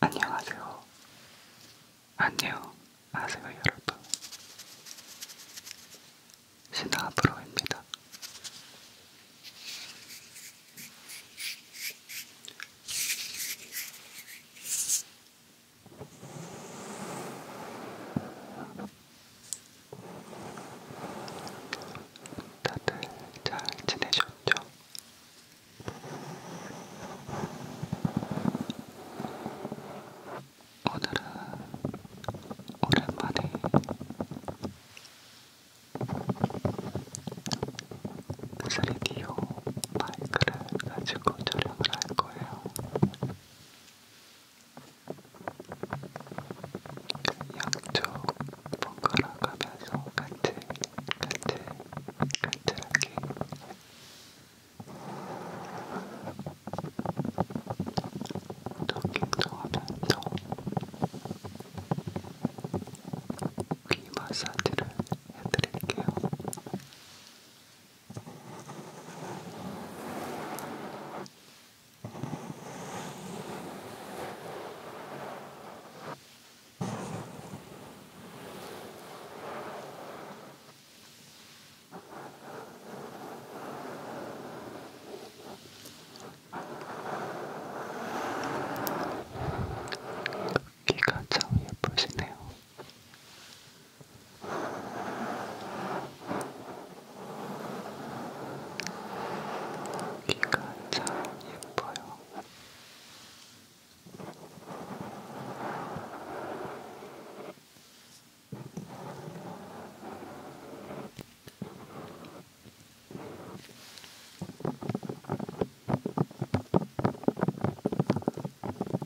안녕하세요. 안녕하세요, 여러분. 신화프로입니다. 다들 잘 지내셨죠? 오늘은 오랜만에 쓰레기요 마이크를 가지고 촬영을 할 거예요. 양쪽 번갈아 가면서 같이, 같이, 같이 하기. 토킹도 하면서 귀 마사지를 해드릴게요. 귀가 참 예쁘시네요. 귀가 참 예뻐요.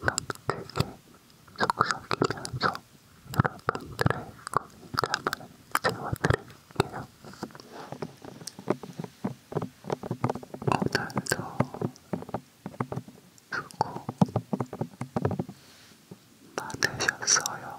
남들게 속삭이면서 여러분들의 고민담을 채워드릴게요. 오늘도 수고 많으셨어요.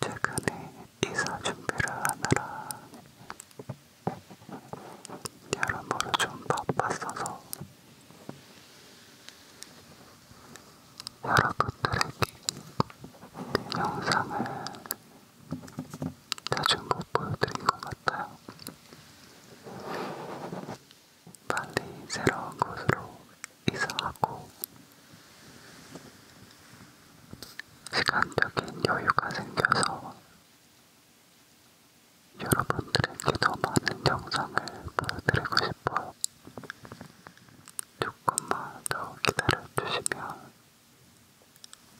최근에 이사 준비를 하느라 여러모로 좀 바빴어서 여러분들에게 그 영상을 자주 못 보여드린 것 같아요. 빨리 새로운 곳으로 이사하고 시간적인 여유가 생겨서 여러분들에게 더 많은 영상을 보여드리고 싶어요. 조금만 더 기다려주시면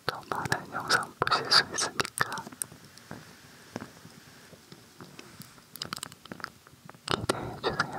더 많은 영상 보실 수 있으니까 기대해주세요.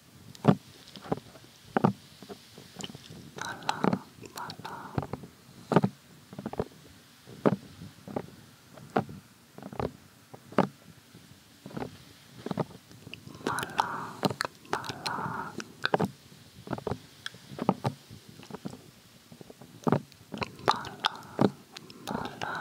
말라 말라 말라 말라 말라 말라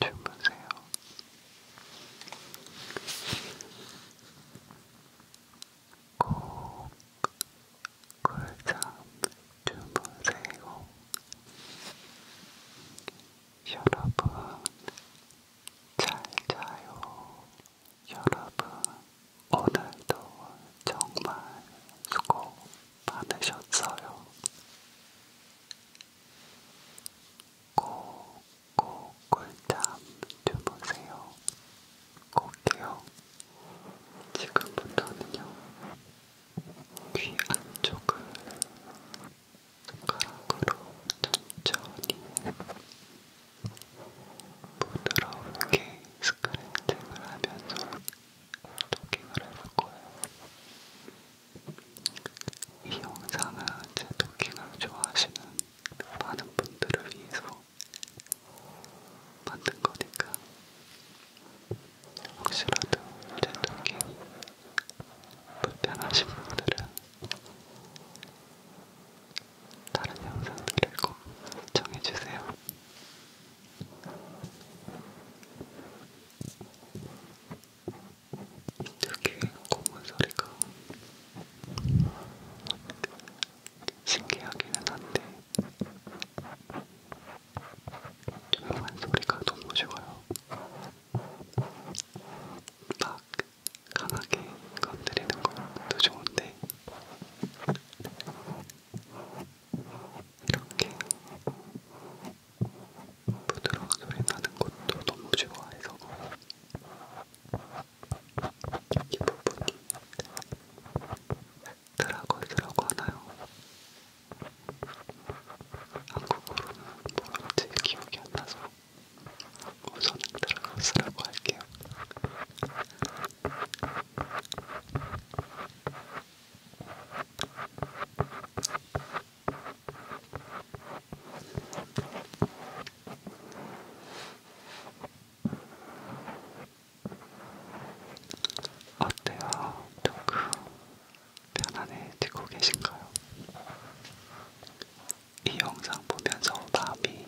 to Brazil. 꼭 골자 주무세요. 여러분, 잘 자요. 여러분, 오늘도 정말 수고 받으셨어요. 꼭꼭 꿀잠 주무세요. 꼭게요. 지금부터는요. 귀 안쪽을 손가락으로 천천히 부드럽게 스크래팅을 하면서 도킹을 해볼 거예요. 이 영상은 제 도킹을 좋아하시는 많은 분들을 위해서 만든 거니까 혹시라도 제 도킹이 불편하신 분들은 다른 영상들을 꼭 시청해주세요. 되게 검은 소리가 신기하기는 한데 조용한 소리가 너무 좋아요. 막 강하게 건드리는 것도 좋은데 이렇게 부드러운 소리 나는 것도 너무 좋아해서 이 부분이 드라거스라고 하나요? 한국어로는 뭔지 기억이 안 나서 우선은 드라거스라고 할게요. 어때요? 조금 편안해지고 계신가요? 이 영상 보면서 마음이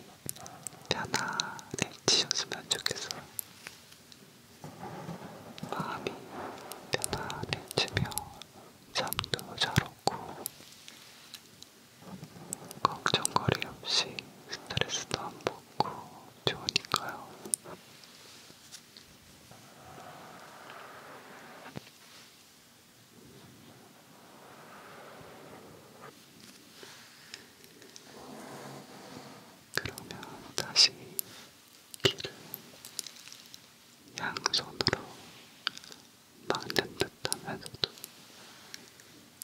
편안해지셨으면 좋겠어요. 마음이 편안해지며 잠도 잘 오고 걱정거리 없이 스트레스도 안 받고 좋으니까요. 그러면 다시 귀를 양손으로 막는 듯 하면서도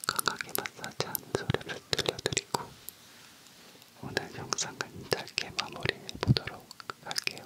강하게 마사지하는 소리를 들려드리고 오늘 영상은 짧게 마무리해보도록 할게요.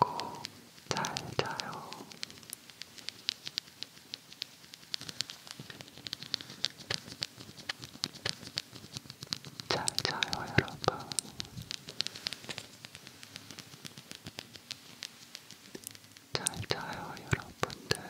꼭잘 자요. 잘 자요, 여러분. 잘 자요, 여러분들.